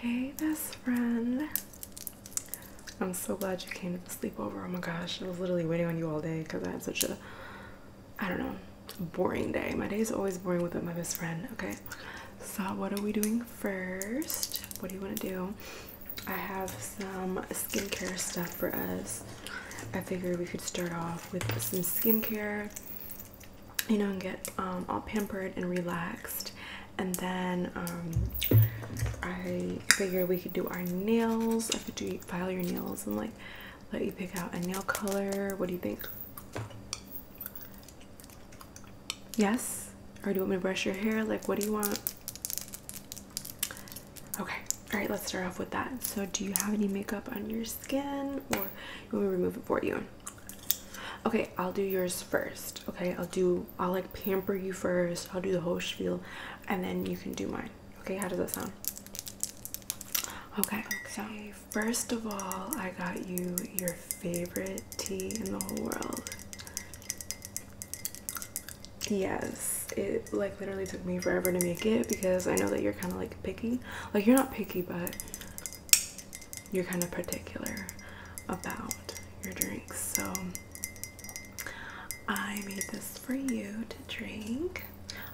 Hey, best friend. I'm so glad you came to the sleepover. Oh my gosh, I was literally waiting on you all day because I had such a, I don't know, boring day. My day is always boring without my best friend, okay? So, what are we doing first? What do you want to do? I have some skincare stuff for us. I figured we could start off with some skincare you know, and get um, all pampered and relaxed. And then um, I figured we could do our nails. I could do file your nails and like let you pick out a nail color. What do you think? Yes? Or do you want me to brush your hair? Like, what do you want? Okay. All right, let's start off with that. So, do you have any makeup on your skin or you want me to remove it for you? Okay, I'll do yours first. Okay, I'll do, I'll like pamper you first. I'll do the whole spiel and then you can do mine. Okay, how does that sound? Okay, okay. so first of all, I got you your favorite tea in the whole world. Yes, it like literally took me forever to make it because I know that you're kind of like picky. Like, you're not picky, but you're kind of particular about your drinks. So I made this for you to drink.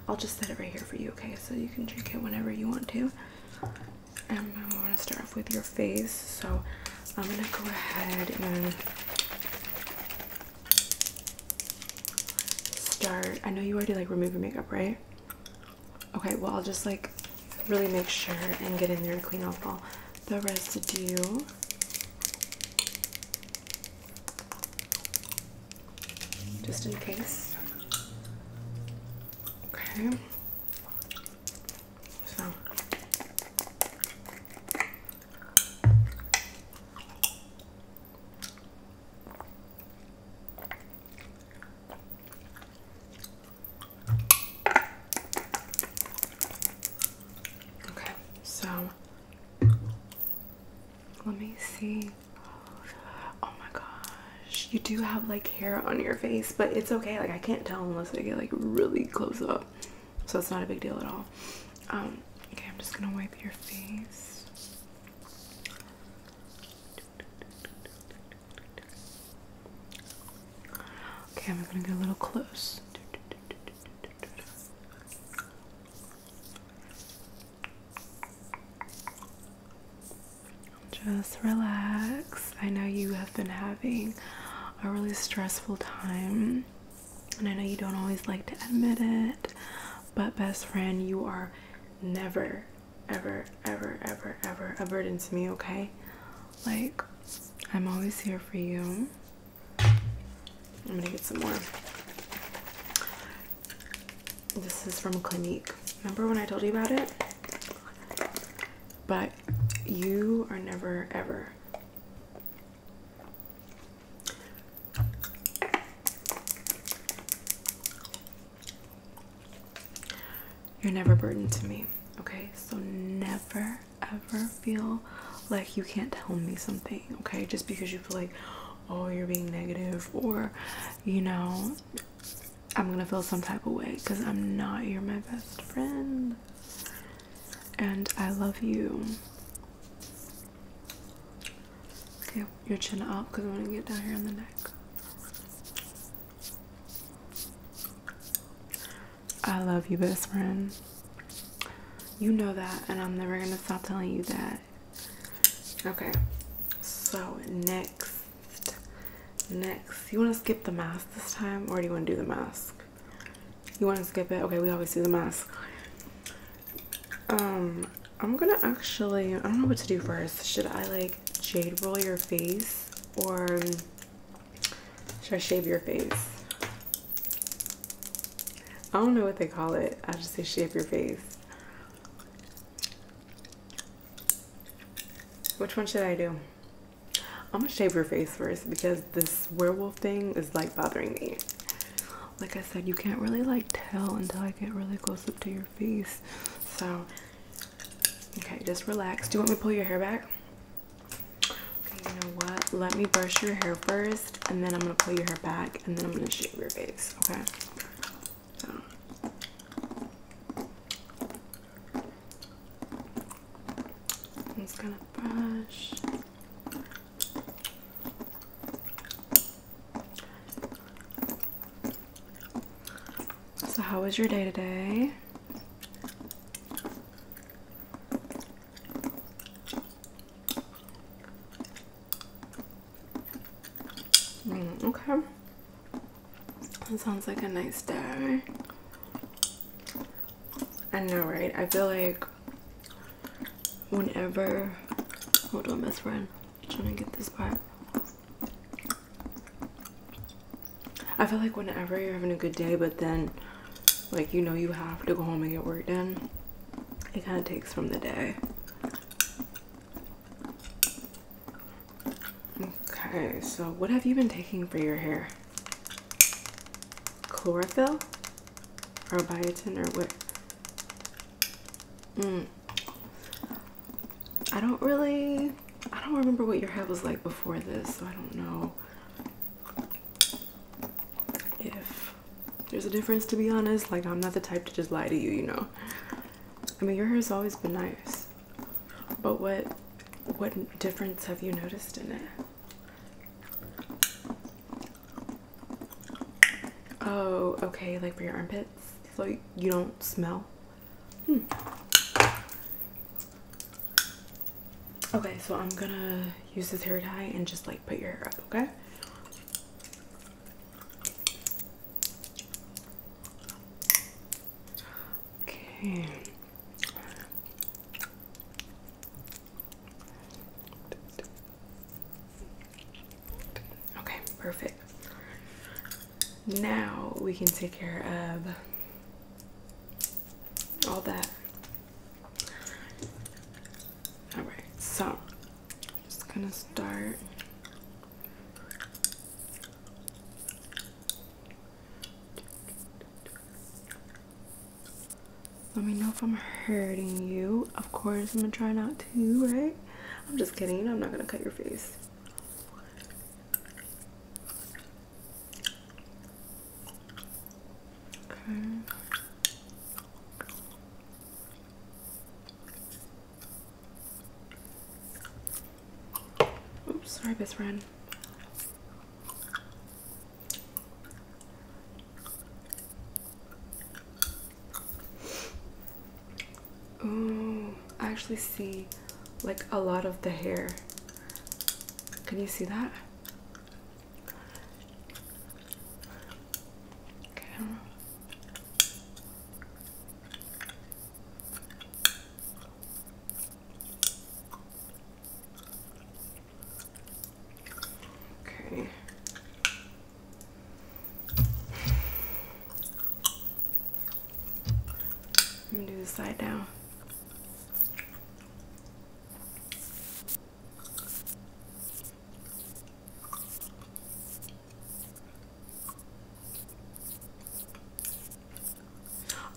I'll just set it right here for you, okay? So you can drink it whenever you want to. I'm going to start off with your face. So I'm going to go ahead and start. I know you already like remove your makeup, right? Okay, well, I'll just like really make sure and get in there and clean up all the residue. Just in case. Okay. So Okay, so let me see. Oh my gosh, you do have like hair on your face, but it's okay. Like I can't tell unless I get like really close up, so it's not a big deal at all. Um, okay, I'm just gonna wipe your face. Okay, I'm gonna get a little close. Just relax. I know you have been having a really stressful time, and I know you don't always like to admit it, but, best friend, you are never, ever, ever, ever, ever a burden to me, okay? Like, I'm always here for you. I'm gonna get some more. This is from Clinique. Remember when I told you about it? But you are never ever you're never burdened to me, okay? So never ever feel like you can't tell me something, okay? Just because you feel like, oh, you're being negative, or you know, I'm gonna feel some type of way because I'm not. You're my best friend, and I love you. Okay, your chin up because I want to get down here on the neck. I love you, best friend. You know that, and I'm never gonna stop telling you that. Okay, so next, next, you wanna skip the mask this time, or do you wanna do the mask? You wanna skip it? Okay, we always do the mask. Um, I'm gonna actually, I don't know what to do first. Should I like jade roll your face, or should I shave your face? I don't know what they call it. I just say shave your face. Which one should I do? I'm gonna shave your face first because this werewolf thing is like bothering me. Like I said, you can't really like tell until I get really close up to your face. So Okay, just relax. Do you want me to pull your hair back? Okay, you know what? Let me brush your hair first, and then I'm gonna pull your hair back, and then I'm gonna shave your face. Okay. just gonna brush. So, how was your day today? Mm, okay. That sounds like a nice day. I know, right? I feel like whenever. Hold on, best friend. I'm trying to get this part. I feel like whenever you're having a good day, but then like you know you have to go home and get work done, it kind of takes from the day. Okay, so what have you been taking for your hair? Chlorophyll? Or biotin or what? Mm. I don't really I don't remember what your hair was like before this, so I don't know if there's a difference to be honest like i'm not the type to just lie to you you know i mean your hair's always been nice but what what difference have you noticed in it oh okay like for your armpits so you don't smell hmm Okay, so I'm gonna use this hair tie and just like put your hair up, okay? Okay. perfect. Now we can take care of all that. All right, so I'm just gonna start. Let me know if I'm hurting you. Of course, I'm gonna try not to, right? I'm just kidding. You I'm not gonna cut your face. Okay. Oops, sorry, best friend. Oh, I actually see like a lot of the hair can you see that? Okay. Okay. I'm gonna do the side now.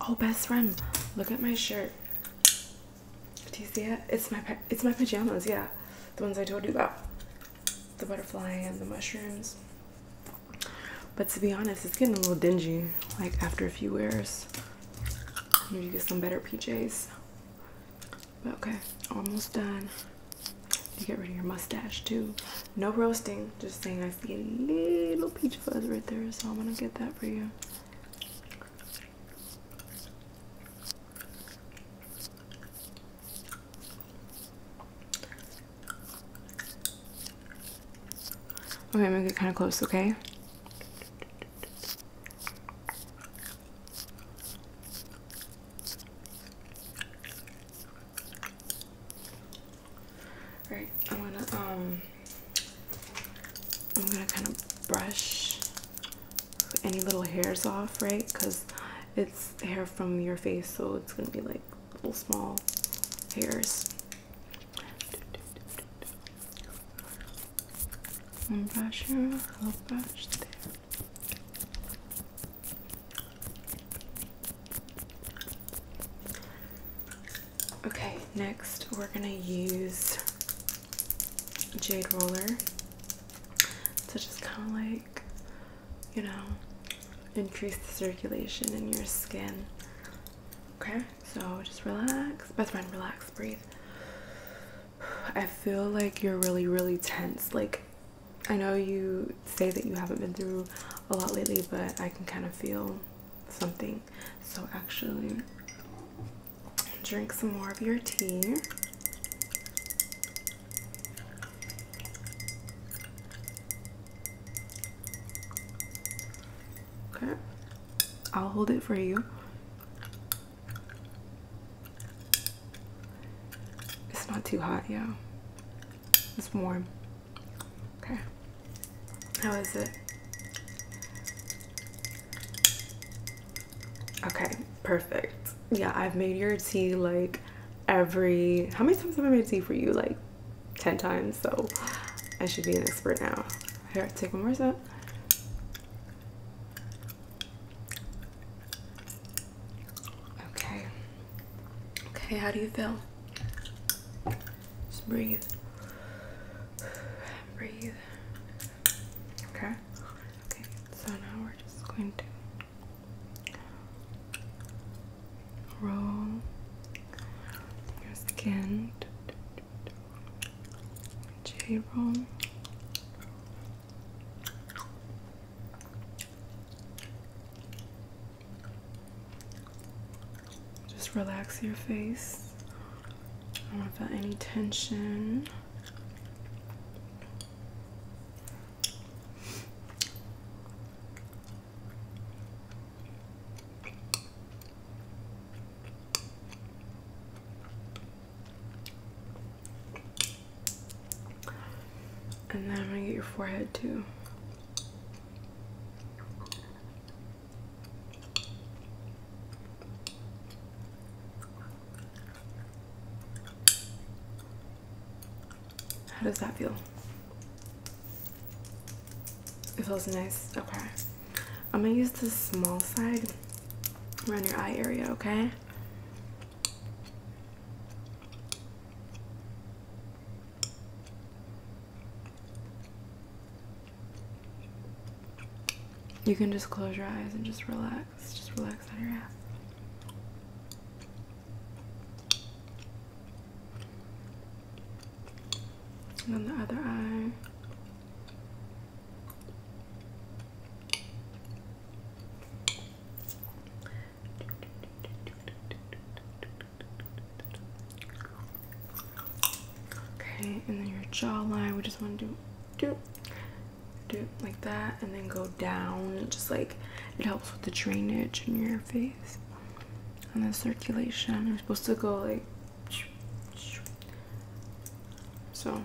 Oh, best friend, look at my shirt. Do you see it? It's my it's my pajamas. Yeah, the ones I told you about, the butterfly and the mushrooms. But to be honest, it's getting a little dingy. Like after a few wears. I need to get some better PJs. But okay, almost done. You get rid of your mustache too. No roasting, just saying I see a little peach fuzz right there, so I'm gonna get that for you. Okay, I'm gonna get kind of close, okay? Right, I'm gonna um I'm gonna kind of brush any little hairs off, right? Because it's hair from your face, so it's gonna be like little small hairs. One brush here, little brush there. Okay, next we're gonna use Jade Roller to just kind of like, you know, increase the circulation in your skin. Okay? So just relax. Best friend, relax, breathe. I feel like you're really, really tense. Like, I know you say that you haven't been through a lot lately, but I can kind of feel something. So, actually, drink some more of your tea. Okay, I'll hold it for you. It's not too hot, yeah. It's warm. Okay. How is it? Okay, perfect. Yeah, I've made your tea like every. How many times have I made tea for you? Like 10 times, so I should be an expert now. Here, take one more sip. Okay. Okay, how do you feel? Just breathe. Breathe. Okay. Okay, so now we're just going to roll your skin J room. Just relax your face. I don't feel any tension. And then I'm gonna get your forehead too. How does that feel? It feels nice. Okay. I'm gonna use the small side around your eye area, okay? You can just close your eyes and just relax. Just relax on your ass. And on the other eye. Okay, and then your jawline, we just want to do, do, do like that, and then go down. Just like it helps with the drainage in your face and the circulation. You're supposed to go like so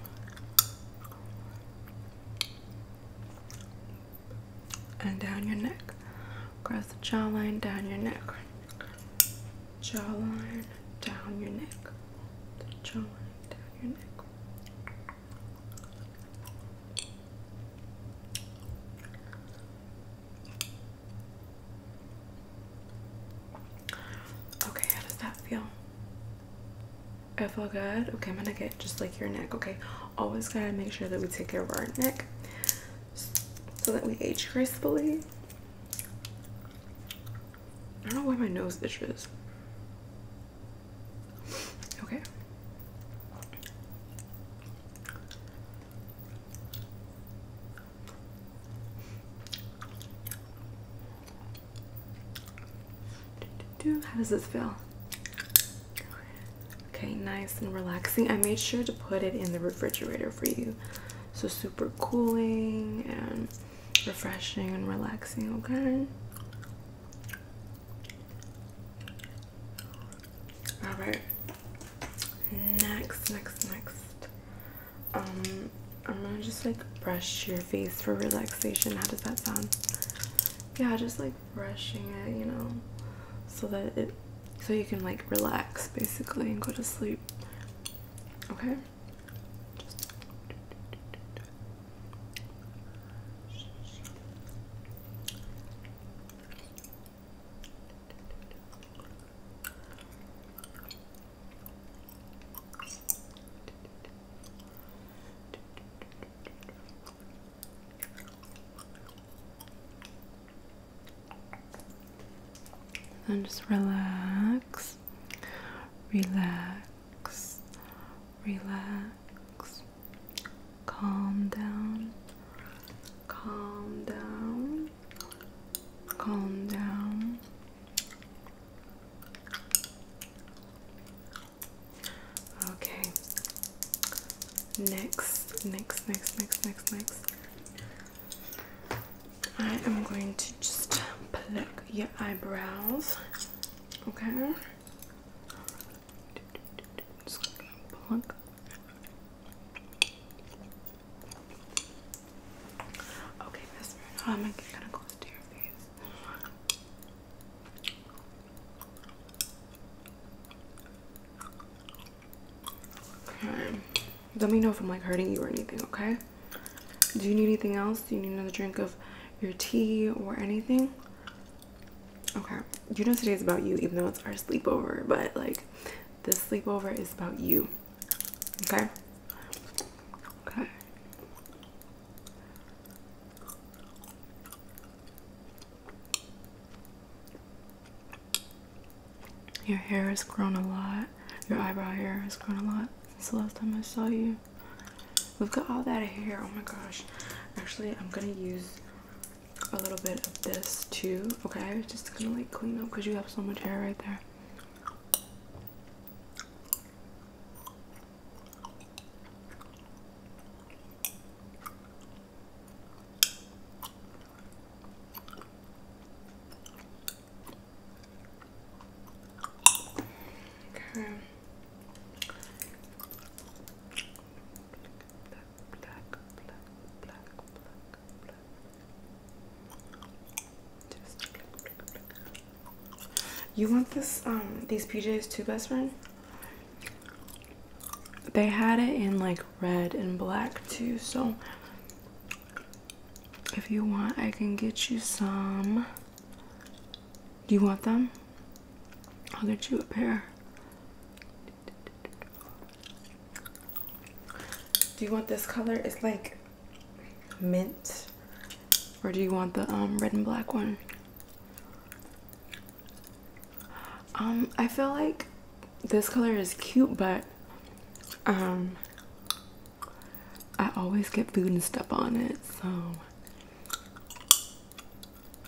and down your neck, across the jawline, down your neck, jawline, down your neck, jawline, down your neck. Okay, how does that feel? I feel good. Okay, I'm gonna get just like your neck. Okay, always gotta make sure that we take care of our neck so that we age gracefully. I don't know why my nose itches. Okay. How does this feel? Okay, nice and relaxing. I made sure to put it in the refrigerator for you. So super cooling and refreshing and relaxing, okay? Alright. Next, next, next. Um, I'm gonna just like brush your face for relaxation. How does that sound? Yeah, just like brushing it, you know, so that it so you can like relax basically and go to sleep. Okay. And just relax, relax, relax, calm down, calm down, calm down. Okay. Next, next, next, next, next, next. I am going to just pluck your eyebrows. Okay. pluck. Okay, Let me know if I'm like hurting you or anything, okay? Do you need anything else? Do you need another drink of your tea or anything? Okay. You know today's about you, even though it's our sleepover, but like this sleepover is about you. Okay? Okay. Your hair has grown a lot. Your eyebrow hair has grown a lot since the last time I saw you. We've got all that hair. Oh my gosh. Actually, I'm gonna use a little bit of this too. Okay, I was just gonna like clean up because you have so much hair right there. Okay. Black, black, black, black, black, black, black, you want this um these PJs too, best friend? They had it in like red and black too, so if you want I can get you some. Do you want them? I'll get you a pair. Do you want this color? It's like mint, or do you want the um, red and black one? Um, I feel like this color is cute, but um, I always get food and stuff on it, so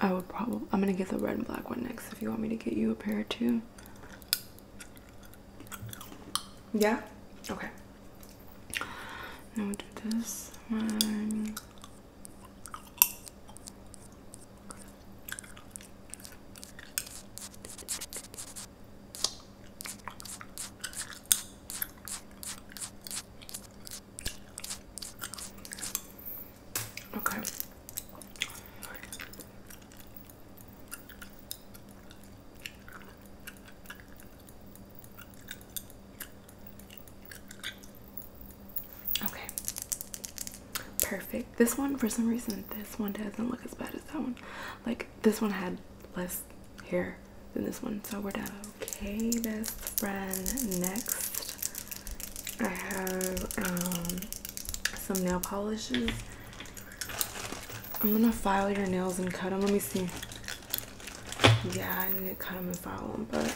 I would probably I'm gonna get the red and black one next. If you want me to get you a pair too, yeah? Okay. Now we do this Okay. Okay. Perfect. This one, for some reason, this one doesn't look as bad as that one. Like, this one had less hair than this one, so we're done. Okay, best friend. Next, I have um, some nail polishes. I'm gonna file your nails and cut them. Let me see yeah, I need to cut them and file them, but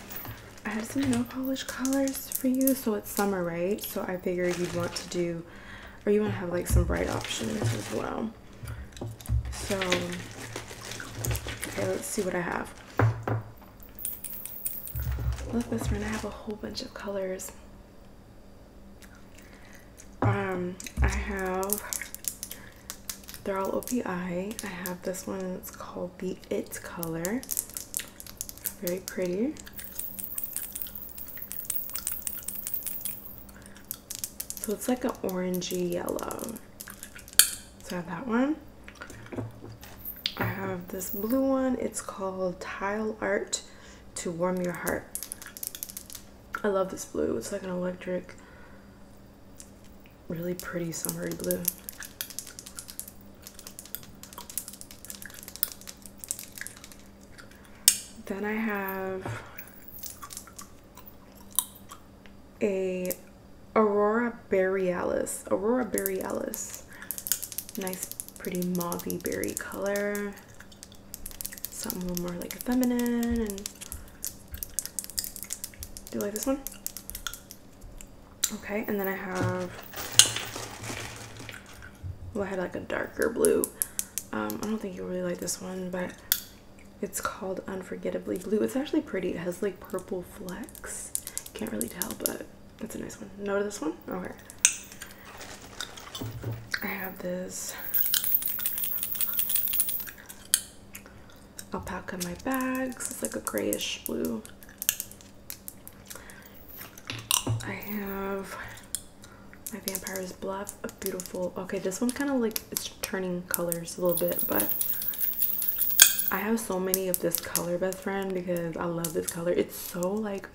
I have some nail polish colors for you. So it's summer, right? So I figured you'd want to do, or you want to have like some bright options as well. So, okay, let's see what I have. Look, this one, I have a whole bunch of colors. Um, I have they're all OPI. I have this one, it's called the It color. Very pretty. So it's like an orangey yellow. So I have that one. I have this blue one. It's called Tile Art to Warm Your Heart. I love this blue. It's like an electric really pretty summery blue. Then I have a Aurora Borealis. Aurora Borealis. Nice, pretty mauvey berry color. Something a little more like feminine and do you like this one? Okay, and then I have, well, I had like a darker blue. Um, I don't think you really like this one, but it's called Unforgettably Blue. It's actually pretty. It has like purple flecks. Can't really tell, but it's a nice one. No to this one? Okay. I have this alpaca in my bags. It's like a grayish blue. I have my vampire's bluff, a beautiful. Okay, this one's kind of like it's turning colors a little bit, but I have so many of this color, best friend, because I love this color. It's so like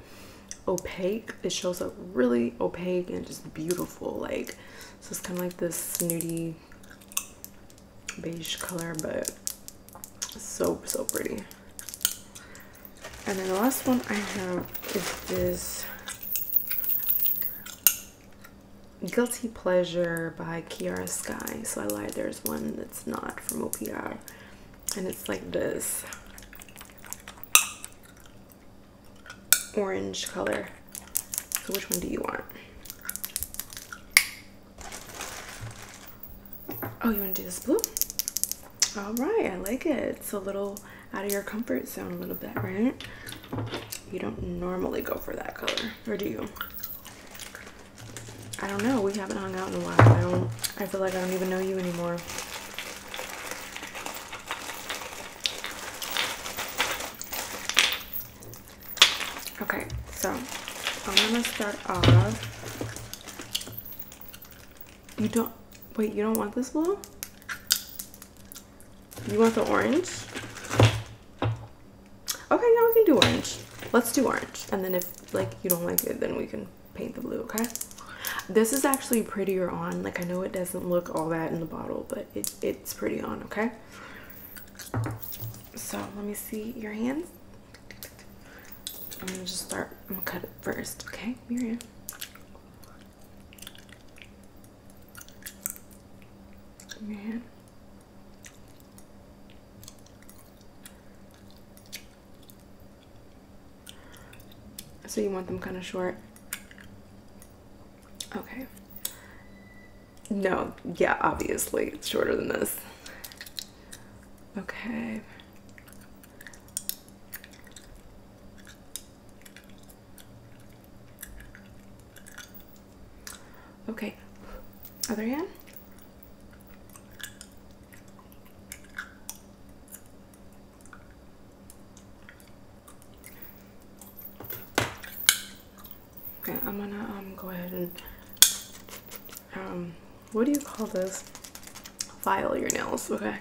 opaque. It shows up really opaque and just beautiful. Like so it's kind of like this snooty beige color, but so, so pretty. And then the last one I have is this Guilty Pleasure by Kiara Sky. So I lied, there's one that's not from OPR. And it's like this orange color. So which one do you want? Oh, you want to do this blue? All right, I like it. It's a little out of your comfort zone a little bit, right? You don't normally go for that color, or do you? I don't know. We haven't hung out in a while. I don't. I feel like I don't even know you anymore. Okay, so I'm gonna start off. You don't wait, you don't want this blue? You want the orange? Okay, now we can do orange. Let's do orange. And then if like you don't like it, then we can paint the blue, okay? This is actually prettier on. Like I know it doesn't look all that in the bottle, but it's pretty on, okay? So let me see your hands. I'm gonna just start. I'm gonna cut it first, okay, Miriam. Your hand. So you want them kind of short. Okay. No, yeah, obviously it's shorter than this. Okay. Okay, other hand. Okay, I'm gonna um go ahead and um what do you call this? File your nails, okay.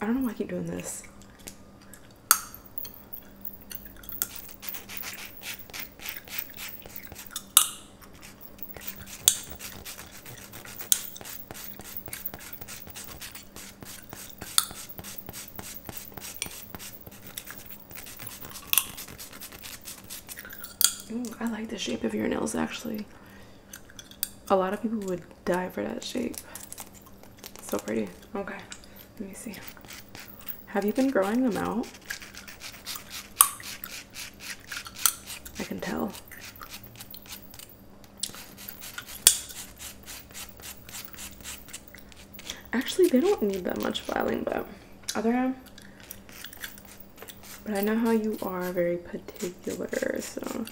I don't know why I keep doing this. I like the shape of your nails actually. A lot of people would die for that shape. so pretty. Okay, let me see. Have you been growing them out? I can tell. Actually, they don't need that much filing, but other but I know how you are very particular, so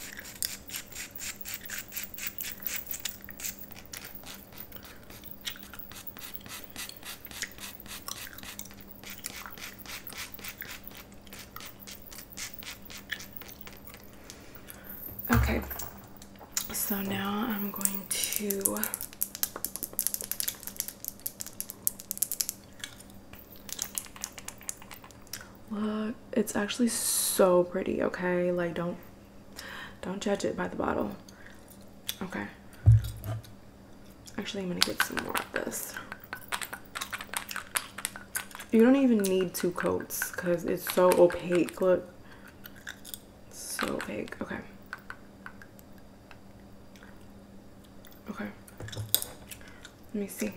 Okay, so now I'm going to look it's actually so pretty okay like don't don't judge it by the bottle okay actually i'm gonna get some more of this you don't even need two coats because it's so opaque look so big. Okay. Okay. Let me see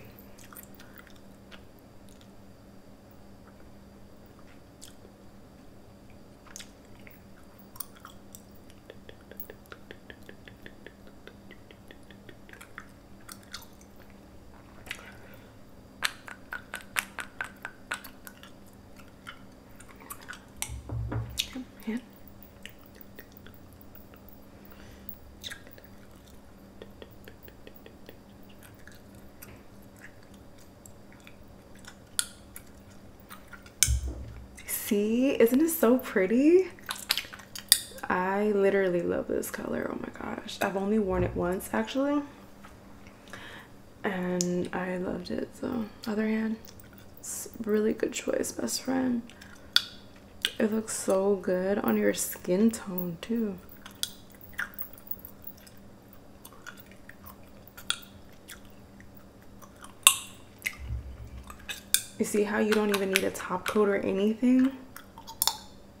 here. See, isn't it so pretty? I literally love this color. Oh my gosh. I've only worn it once actually and I loved it. So, other hand, it's really good choice, best friend. It looks so good on your skin tone, too. You see how you don't even need a top coat or anything?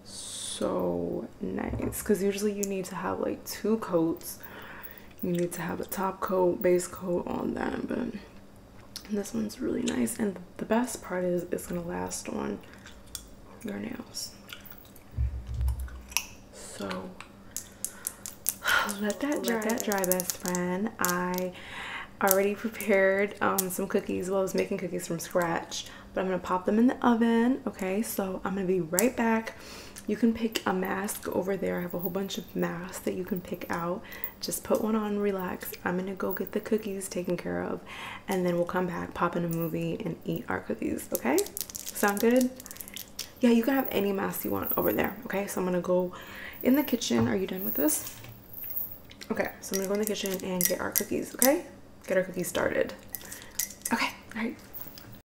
So nice. Because usually you need to have like two coats you need to have a top coat, base coat, on that. But this one's really nice. And the best part is it's going to last on your nails. So let that dry. Let that dry, best friend. I already prepared um, some cookies. Well, I was making cookies from scratch, but I'm going to pop them in the oven. Okay, so I'm going to be right back you can pick a mask over there. I have a whole bunch of masks that you can pick out. Just put one on, relax. I'm gonna go get the cookies taken care of, and then we'll come back, pop in a movie, and eat our cookies. Okay? Sound good? Yeah, you can have any mask you want over there. Okay, so I'm gonna go in the kitchen. Are you done with this? Okay, so I'm gonna go in the kitchen and get our cookies. Okay, get our cookies started. Okay, all right.